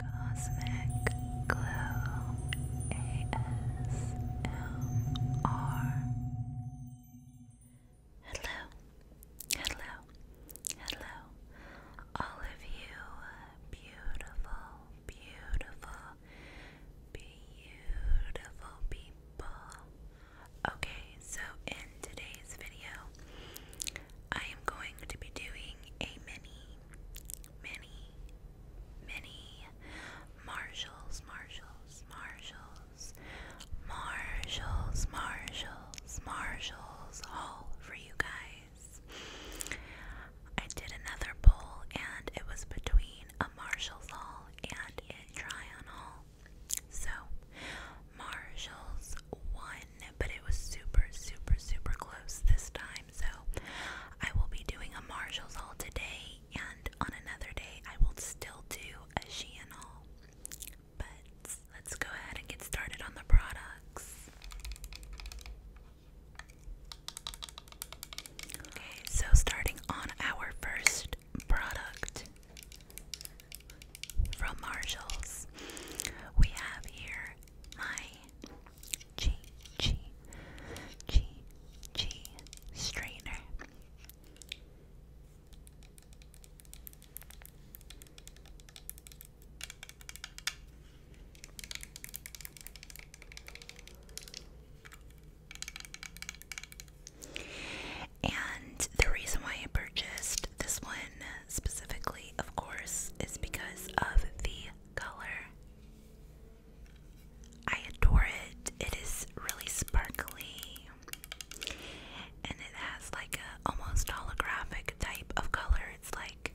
Cosmic Glow ASMR. Hello, hello, hello, all of you beautiful, beautiful, beautiful people. Okay, so in today's video, I am going to be doing a mini, mini, mini Marshalls, Marshalls, Marshalls, Marshalls, Marshalls, Marshalls haul for you guys. I did another poll and it was between a Marshalls haul and a try on So Marshalls one but it was super, super, super close this time. So I will be doing a Marshalls haul today, and on another day, I will still do a Shein haul. But let's go ahead and get started on the products. Okay, so starting on our first product from Marshalls, we have here my G G G G strainer. And the reason why I purchased this one specifically obviously, of course, is because of the color. I adore it. It is really sparkly and it has like a almost holographic type of color. It's like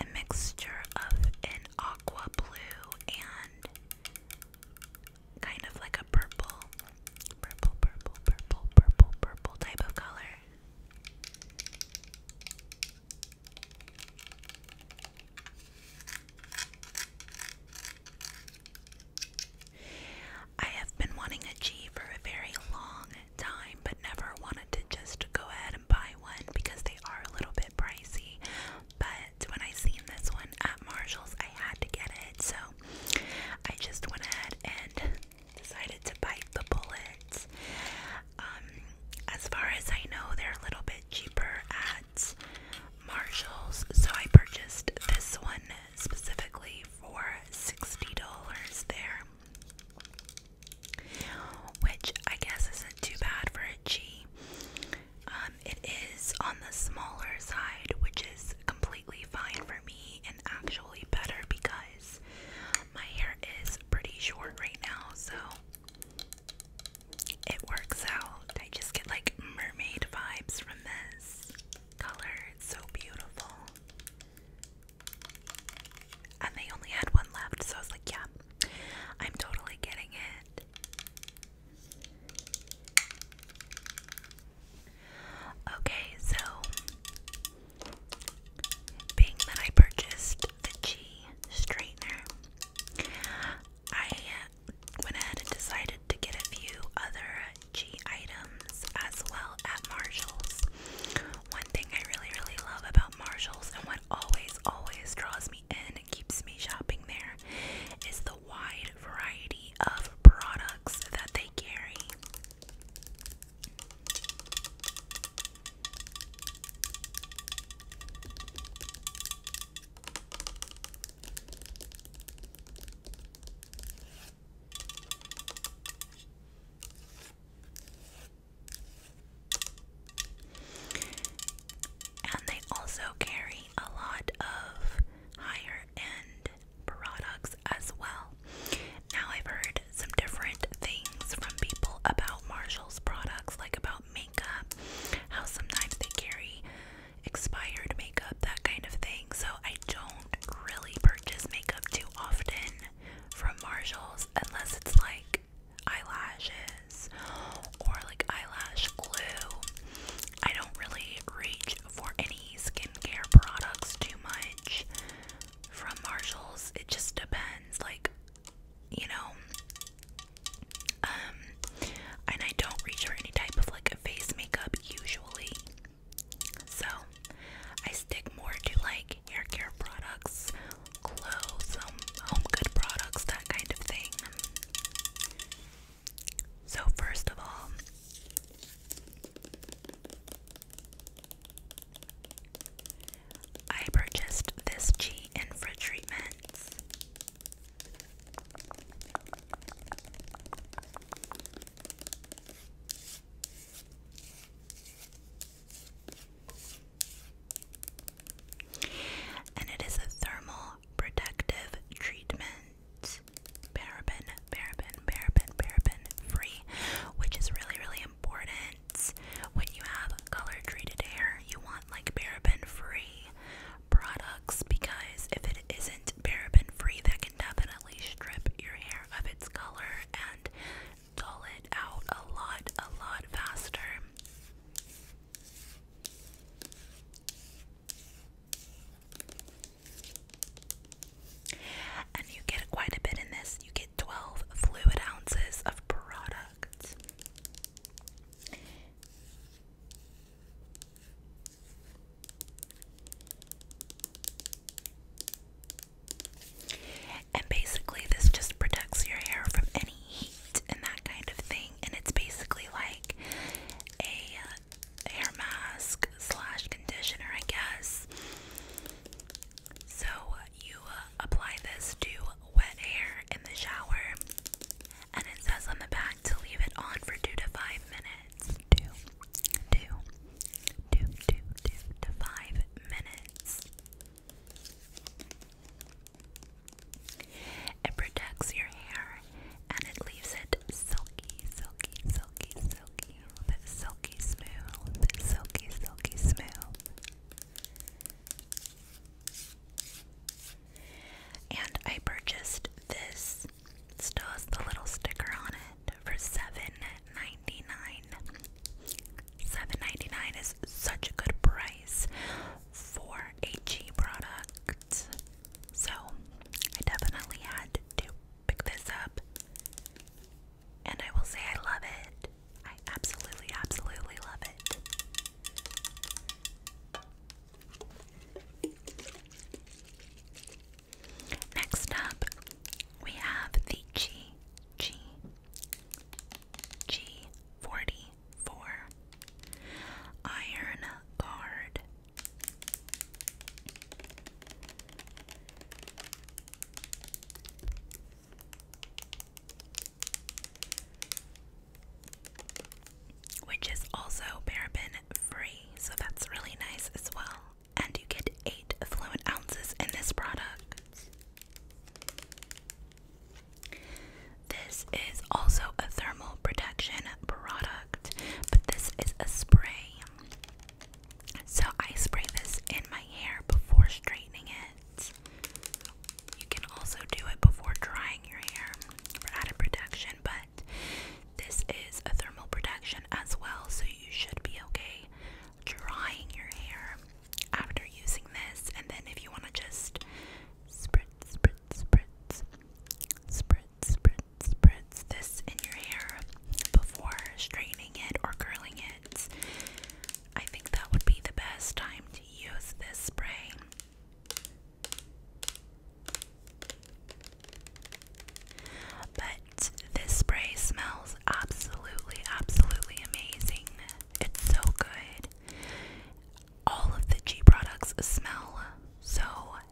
a mixture of an aqua blue and kind of like a purple, purple, purple, purple, purple, purple type of color. I have been wanting a G for a very long time, but never wanted to just go ahead and buy one because they are a little bit pricey. But when I seen this one at Marshall's, I had to get it, so I just went ahead and decided to bite the bullet. Um, as far as I know, they're a little bit cheaper at Marshalls, so I purchased this one specifically for $60 there. Which I guess isn't too bad for a G. Um, it is on the smaller side, which is completely fine for me and actually better because my hair is pretty short right now, so it works out. I just get like mermaid vibes from this color. It's so beautiful. And they only had one left, so I was like, yeah, I'm totally getting it. Okay, so being that I purchased the G straightener, I went ahead and decided to get a few other G items as well at Marshall's. One thing I really, really love about Marshall's and what always, always draws me in and keeps me shopping there is the wide variety of products that they carry. And they also carry a lot of higher end products as well. Now, I've heard some different things from people about Marshall's products, like about makeup, how sometimes they carry expired makeup, that kind of thing. So, I don't really purchase makeup too often from Marshall's unless it's like eyelashes or like eyelash glue. I don't really reach for any skincare products too much from Marshalls. It just depends, like, you know. Um, and I don't reach for any type of like face makeup usually. So I stick more to like hair care products, clothes, um, home good products, that kind of thing. So, first of all, I purchased this G Infra treatments. And it is a thermal protective treatment is paraben, paraben, paraben, paraben free, which is really, really important. When you have color treated hair, you want like paraben free products because if it isn't paraben free, that can definitely strip your hair of its color and dull it out a lot, a lot faster. And you get quite a bit in this. You get 12 fluid ounces of product. And basically, this just protects your hair from any heat and that kind of thing. And it's basically like a uh, hair mask slash conditioner, I guess. So you uh, apply this to wet hair in the shower, and it says on the back to leave it on for two to five minutes. Two, two, two, two, two to five minutes. It protects your hair and it leaves it silky, silky, silky, silky, smooth, silky smooth, silky, silky smooth. And I purchased this. It the little sticker on it for $7.99. $7.99 is such a good price for a G product. So I definitely had to pick this up. And I will say I love it. I absolutely, absolutely love it. Next up, we have the G G G forty four iron guard which is also paraben free, so that's really nice as well. And you get 8 fluid ounces in this product. This is also a thermal protection product, but this is a spray. So I spray this in my hair before straightening it. You can also do it before drying your hair for added protection, but this is a thermal protection as well, so you should be okay drying your hair after using this. And then if you want to just spritz, spritz, spritz, spritz, spritz, spritz this in your hair before straightening it or curling it. I think that would be the best time to use this spray. But this spray smells absolutely, absolutely amazing. It's so good. All of the G products smell so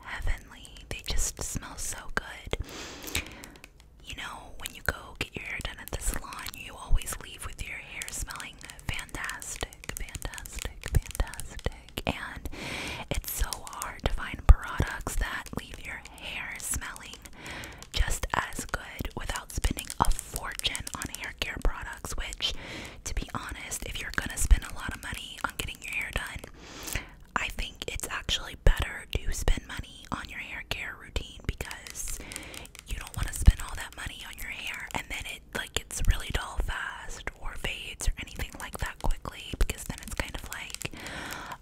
heavenly. They just smell so good. You know, when you go get your hair done at the salon, you always leave with your hair smelling fantastic, fantastic, fantastic. And it's so hard to find products that leave your hair smelling just as good without spending a fortune on hair care products, which, to be honest, if you're gonna spend a lot of money on getting your hair done, I think it's actually better to spend money on your hair care routine because you don't want to spend all that money on your hair and then it like gets really dull fast or fades or anything like that quickly because then it's kind of like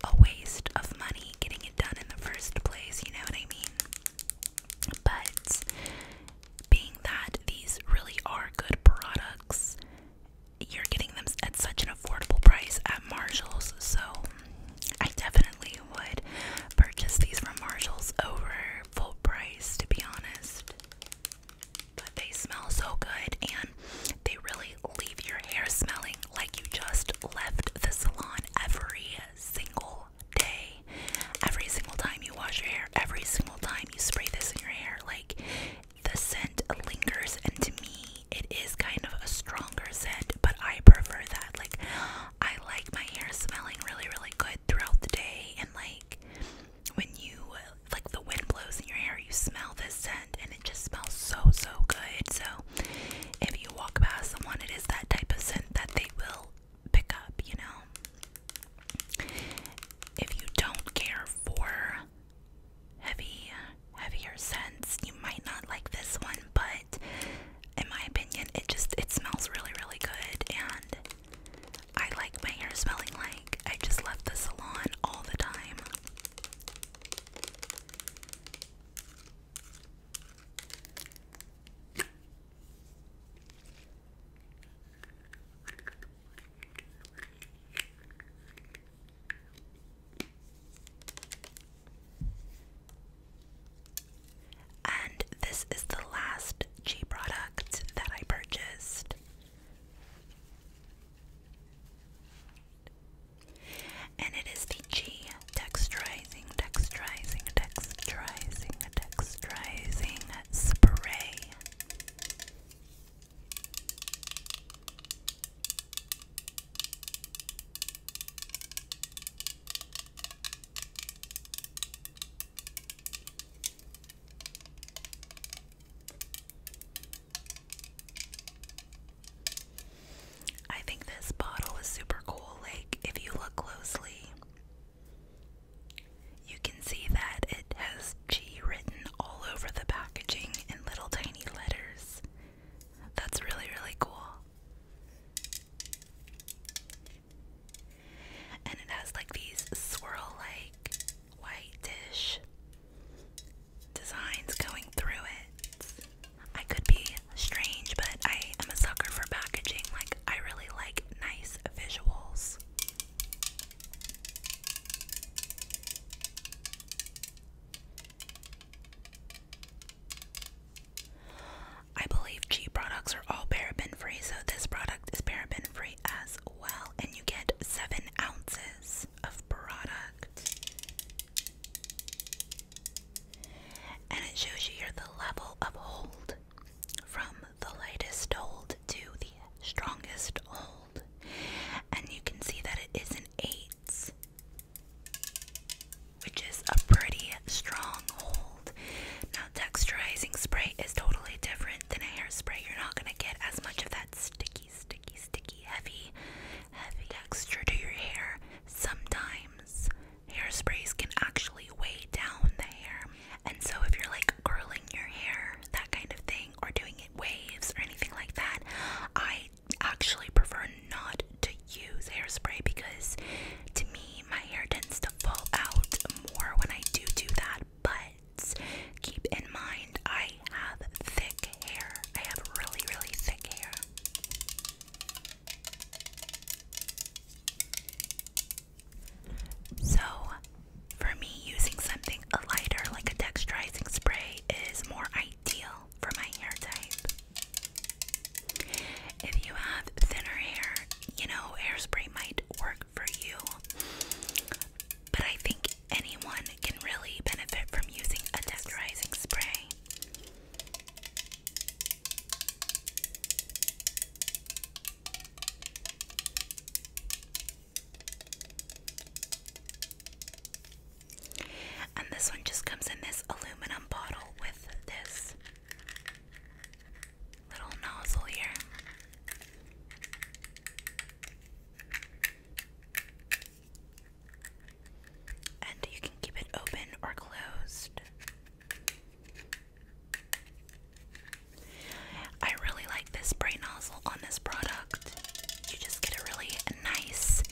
a waste of money getting it done in the first place, you know what I mean? But being that these really are good products you're getting them at such an affordable price at Marshalls, so I definitely would purchase these from Marshalls over full price, to be honest. But they smell so good and they really leave your hair smelling like you just left the salon every single day. Every single time you wash your hair, every single time you spray this in your hair, like the scent lingers, and to me, it is kind of a stronger scent, but I prefer that. Like, I like my hair smelling really, really good throughout the day, and like when you like the wind blows in your hair, you smell this scent, and it just smells so, so good. So, if you walk past someone, it is that type of scent that they will pick up, you know. If you don't care for heavy, heavier scents. You might not like this one, but in my opinion, it just it smells really, really good. And I like my hair smelling like I just left the salon all the time. And this is the last G product that I purchased. And it is the G texturizing, texturizing, texturizing, texturizing spray. I think this bottle is super cool. Like, if you look closely, you can see that it has G written all over the packaging in little tiny letters. That's really, really cool. And it has like these swirl like white dish designs going through it. I could be strange, but I am a sucker for packaging. Like, I really like nice visuals. I believe G products are all paraben free, so this product is paraben free as well, and you get seven ounces of product. And it shows you here the level of hold from the lightest hold to the strongest hold. And you can see that it is an 8, which is a pretty strong hold. Now, texturizing spray is totally different than a hairspray. You're not going to get as much of that sticky, sticky, sticky, heavy, heavy texture to your hair. Sometimes hairsprays can actually weigh down the hair. And so, if you're like curling your hair, that kind of thing, or doing it waves or anything like that, I actually prefer not to use hairspray because to me my hair tends to fall out more when I do do that. But keep in mind, I have thick hair. I have really, really thick hair. So for me, using something lighter like a texturizing spray is more ideal for my hair type. If you have thinner hair, you know, hairspray might work for you. But I think anyone can really benefit from using a texturizing spray. And this one just comes in this aluminum bottle with this little nozzle here. And you can keep it open or closed. I really like this spray nozzle on this product. You just get a really nice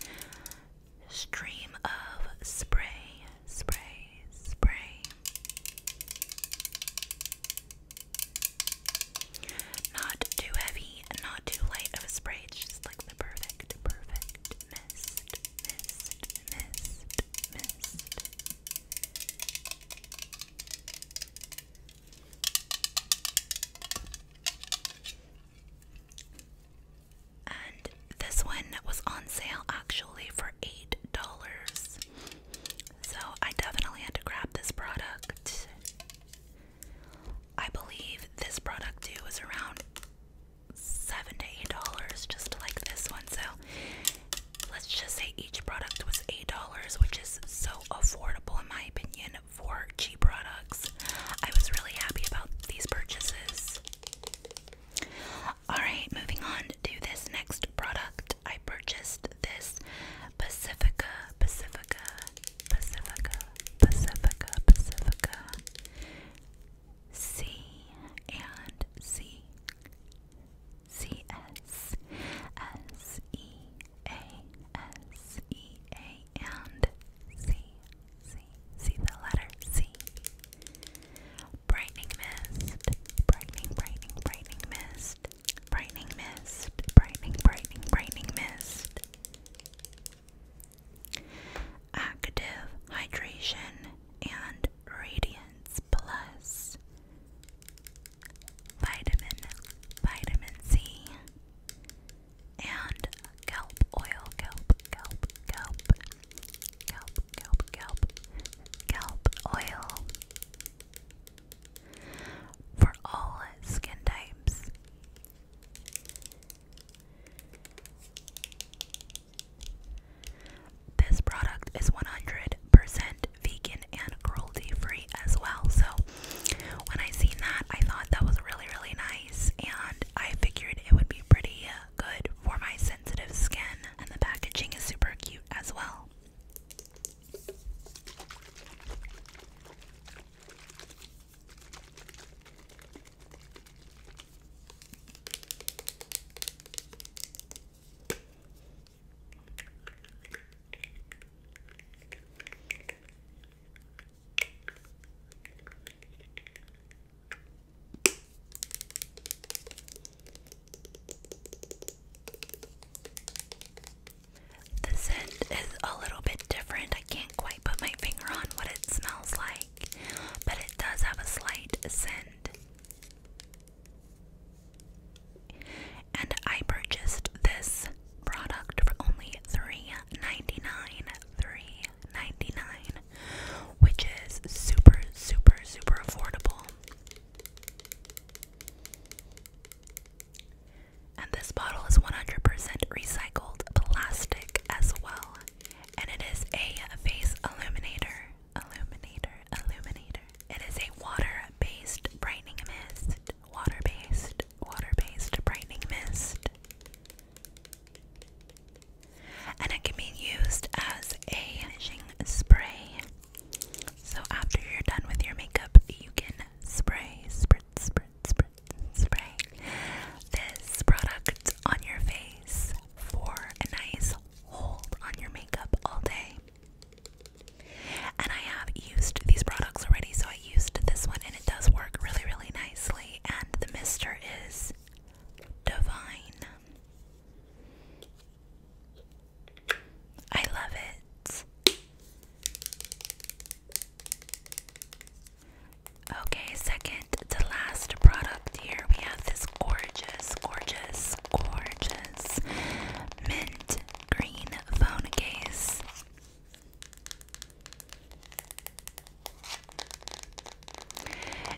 stream of spray, spray, spray. Not too heavy, not too light of a spray. It's just like the perfect, perfect mist, mist, mist, mist. And this one was on sale actually for $8. So I definitely had to grab this product. I believe this product too was around seven to eight dollars, just like this one. So let's just say each product was $8, which is so affordable in my opinion for cheap products. I was really happy about these purchases. Alright, moving on to this next product. I purchased this Pacifica, Pacifica, Pacifica, Pacifica, Pacifica. C and C C S S E A S E A and C C the letter C Brightening mist brightening brightening brightening mist brightening mist brightening brightening brightening mist Active hydration and radiance plus vitamin, vitamin C, and kelp oil, kelp, kelp, kelp, kelp, kelp, kelp, kelp oil for all skin types. This product is 100% vegan and cruelty free as well. So when I seen that, I thought that was really really nice, and I figured it would be pretty uh, good for my sensitive skin. And the packaging is super cute as well. The scent is a little bit different. I can't quite put my finger on what it smells like, but it does have a slight scent. And I purchased this product for only $3.99. which is super, super, super affordable. And this bottle is 100% recycled plastic as well. And it is a face illuminator illuminator, illuminator. It is a water-based brightening mist. Water-based, water-based brightening mist. And it can be used as a finishing spray. So after you're done with your makeup, you can spray, spritz, spritz, spritz, spray this product on your face for a nice hold on your makeup all day. And I have used these products already, so I used this one and it does work really, really nicely. And the mister is divine. I love it. Okay, second to last product here, we have this gorgeous, gorgeous, gorgeous this mint green phone case.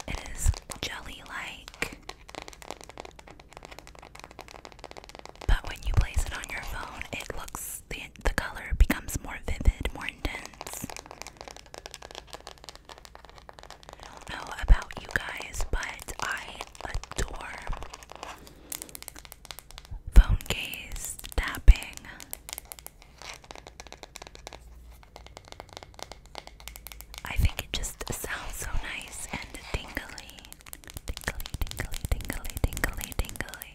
It is jelly like, but when you place it on your phone, it looks the, the color becomes more vivid, more intense. I don't know about you guys, but I adore phone case tapping. I think it just sounds so nice and tingly. Tingly, tingly, tingly, tingly, tingly.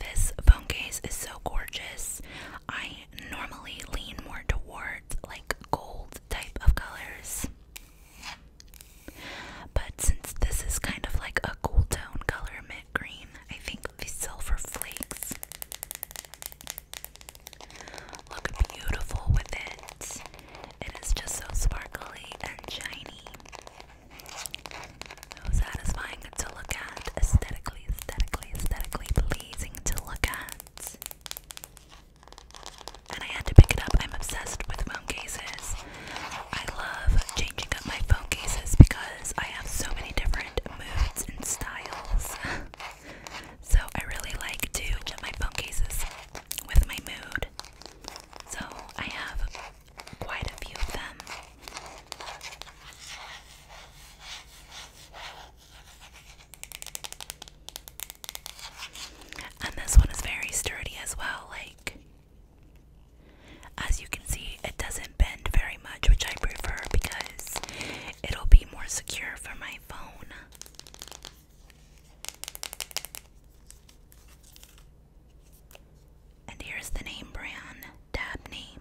This phone case is so gorgeous. I normally lean more towards like gold type of colors. But since this is kind of like a cool tone color mint green, I think the silver flakes look beautiful with it. It is just so sparkly and shiny. So satisfying to look at, aesthetically, aesthetically, aesthetically pleasing to look at. And I had to pick it up. I'm obsessed with phone cases. I love changing up my phone cases because I have so many different moods and styles. so I really like to change my phone cases with my mood. So I have quite a few of them. And this one is very sturdy as well, like as you can see, it doesn't bend very much, which I prefer because it'll be more secure for my phone. And here's the name brand, Dabney.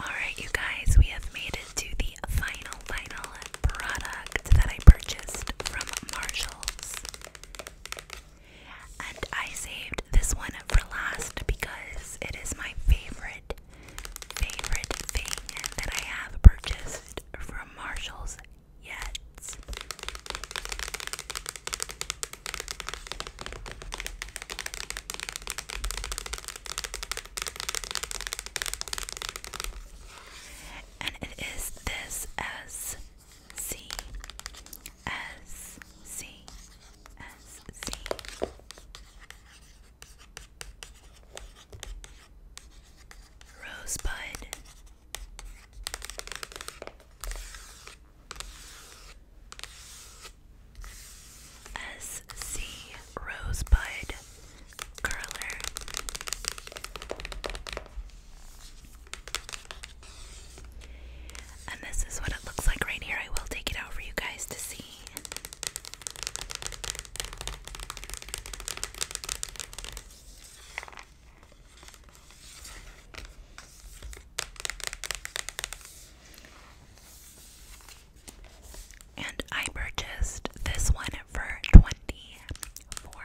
Alright, you guys, we have made it to the final, final product that I purchased from Marshalls. And I saved this one for last because it is my favorite, favorite thing that I have purchased from Marshalls yet. And it is this as C S C S C Rosebud S C Rosebud Curler and this is what it looks like right here. I will take it out for you guys to see. And I purchased this one for twenty four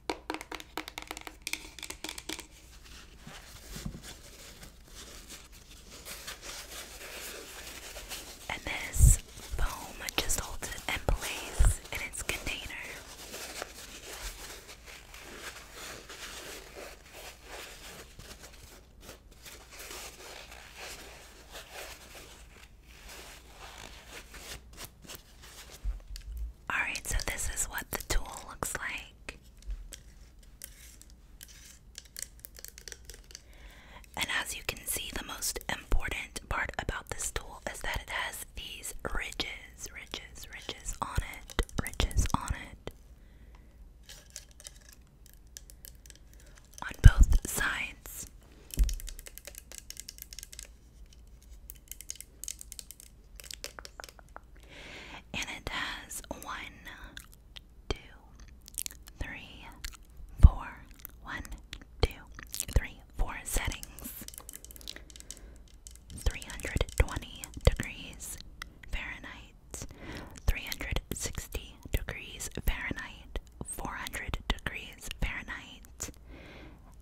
And this foam just holds it in place in its container. Alright, so this is what the tool looks like. And as you can see, the most important part about this tool is that it has these ridges, ridges, ridges on it, ridges on it. On both sides. And it has one, two, three, four, one, two, three, four settings. 320 degrees Fahrenheit, 360 degrees Fahrenheit, 400 degrees Fahrenheit,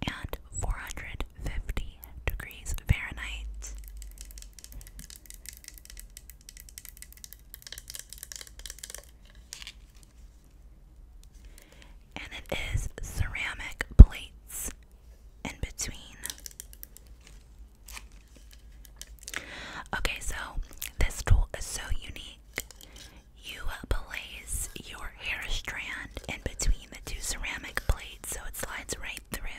and 450 degrees Fahrenheit. And it is ceramic plates in between. Okay, so this tool is so unique. You place your hair strand in between the two ceramic plates so it slides right through.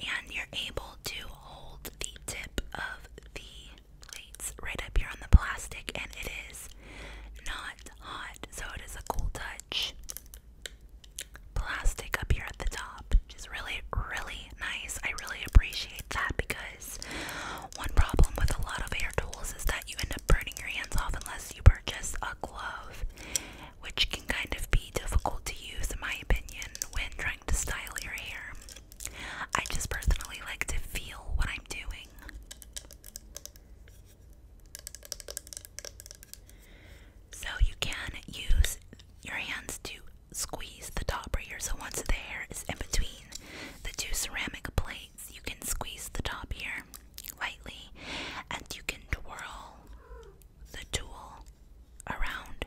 And you're able to hold the tip of the plates right up here on the plastic, and it is not hot, so it is a cool touch. Plastic up here at the top, which is really, really nice. I really appreciate that because one problem with a lot of hair tools is that you end up burning your hands off unless you purchase a glove, which can kind of be difficult to use, in my opinion, when trying to style your hair. I just personally like to feel what I'm doing. So, you can use your hands to squeeze the top right here. So, once the hair is in between the two ceramic plates, you can squeeze the top here lightly and you can twirl the tool around.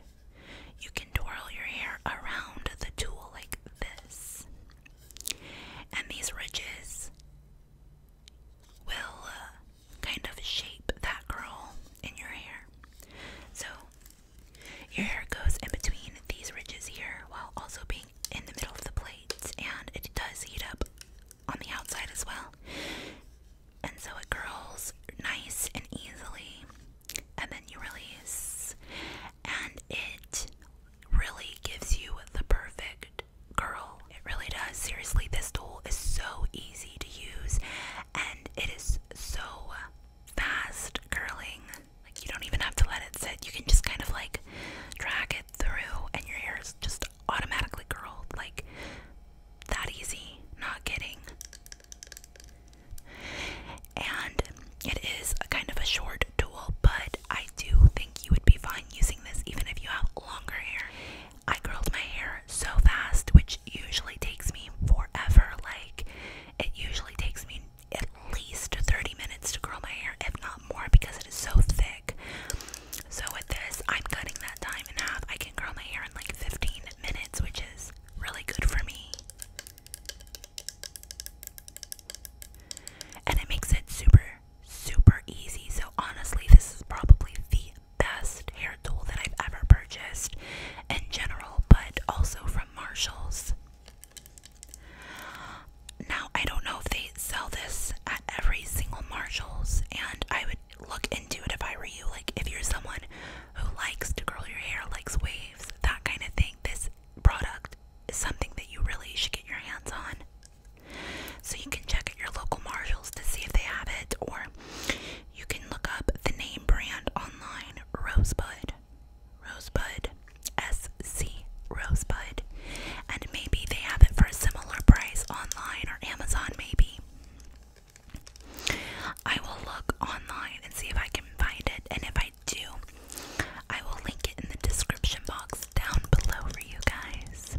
You can twirl your hair around the tool like this. And these ridges will uh, kind of shape that curl in your hair. So your hair goes in between these ridges here while also being in the middle of the plates, and it does heat up on the outside as well. And so it curls nice and easily, and then you release, and it really gives you the perfect curl. It really does. Seriously, this tool is so easy to use, and it is so fast curling. Like you don't even have to let it sit. You can just kind of like drag it through and your hair is just automatically curled. Like that easy. Not kidding. And it is a kind of a short tool, but I do think you would be fine using this even if you have longer hair. I curled my hair so fast, which usually takes me forever. Like, it usually takes me at least 30 minutes to curl my hair, if not more, because it is so thick. So, with this, I'm cutting that time in half. I can curl my hair in like 15 minutes, which is really good for me. And it makes it super, super easy. So, honestly, this is probably the best hair tool that I've ever purchased in general, but also from Marshall's. Now, I don't know if they sell this at every single Marshalls, and I would look into it if I were you. Like, if you're someone who likes to curl your hair, likes waves, that kind of thing, this product is something that you really should get your hands on. So, you can check at your local Marshalls to see if they have it, or you can look up the name brand online, Rosebud. Rosebud, SC Rosebud, and maybe they have it for a similar price online or Amazon, maybe. I will look online and see if I can find it, and if I do, I will link it in the description box down below for you guys.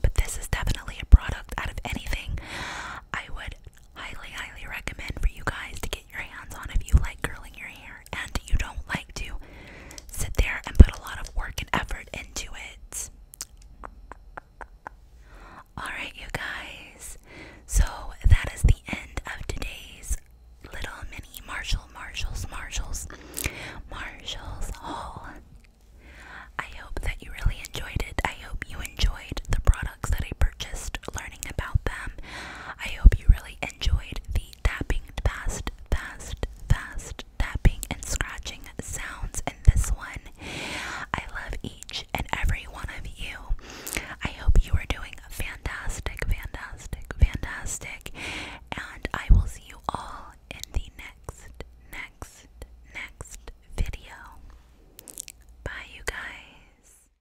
But this is definitely a product out of anything I would highly, highly recommend for you guys to get your hands on if you like curling your hair and you don't like to sit there and put a lot of work and effort into it. Alright, you guys. So that is the end of today's little mini Marshall, Marshall's, Marshall's, Marshall's haul. I hope that you really enjoyed it. I hope you enjoyed the products that I purchased, learning about them. I hope you enjoyed the tapping, fast, fast, fast tapping and scratching sounds in this one. I love each and every one of you. I hope you are doing fantastic, fantastic, fantastic, and I will see you all in the next, next, next video. Bye, you guys.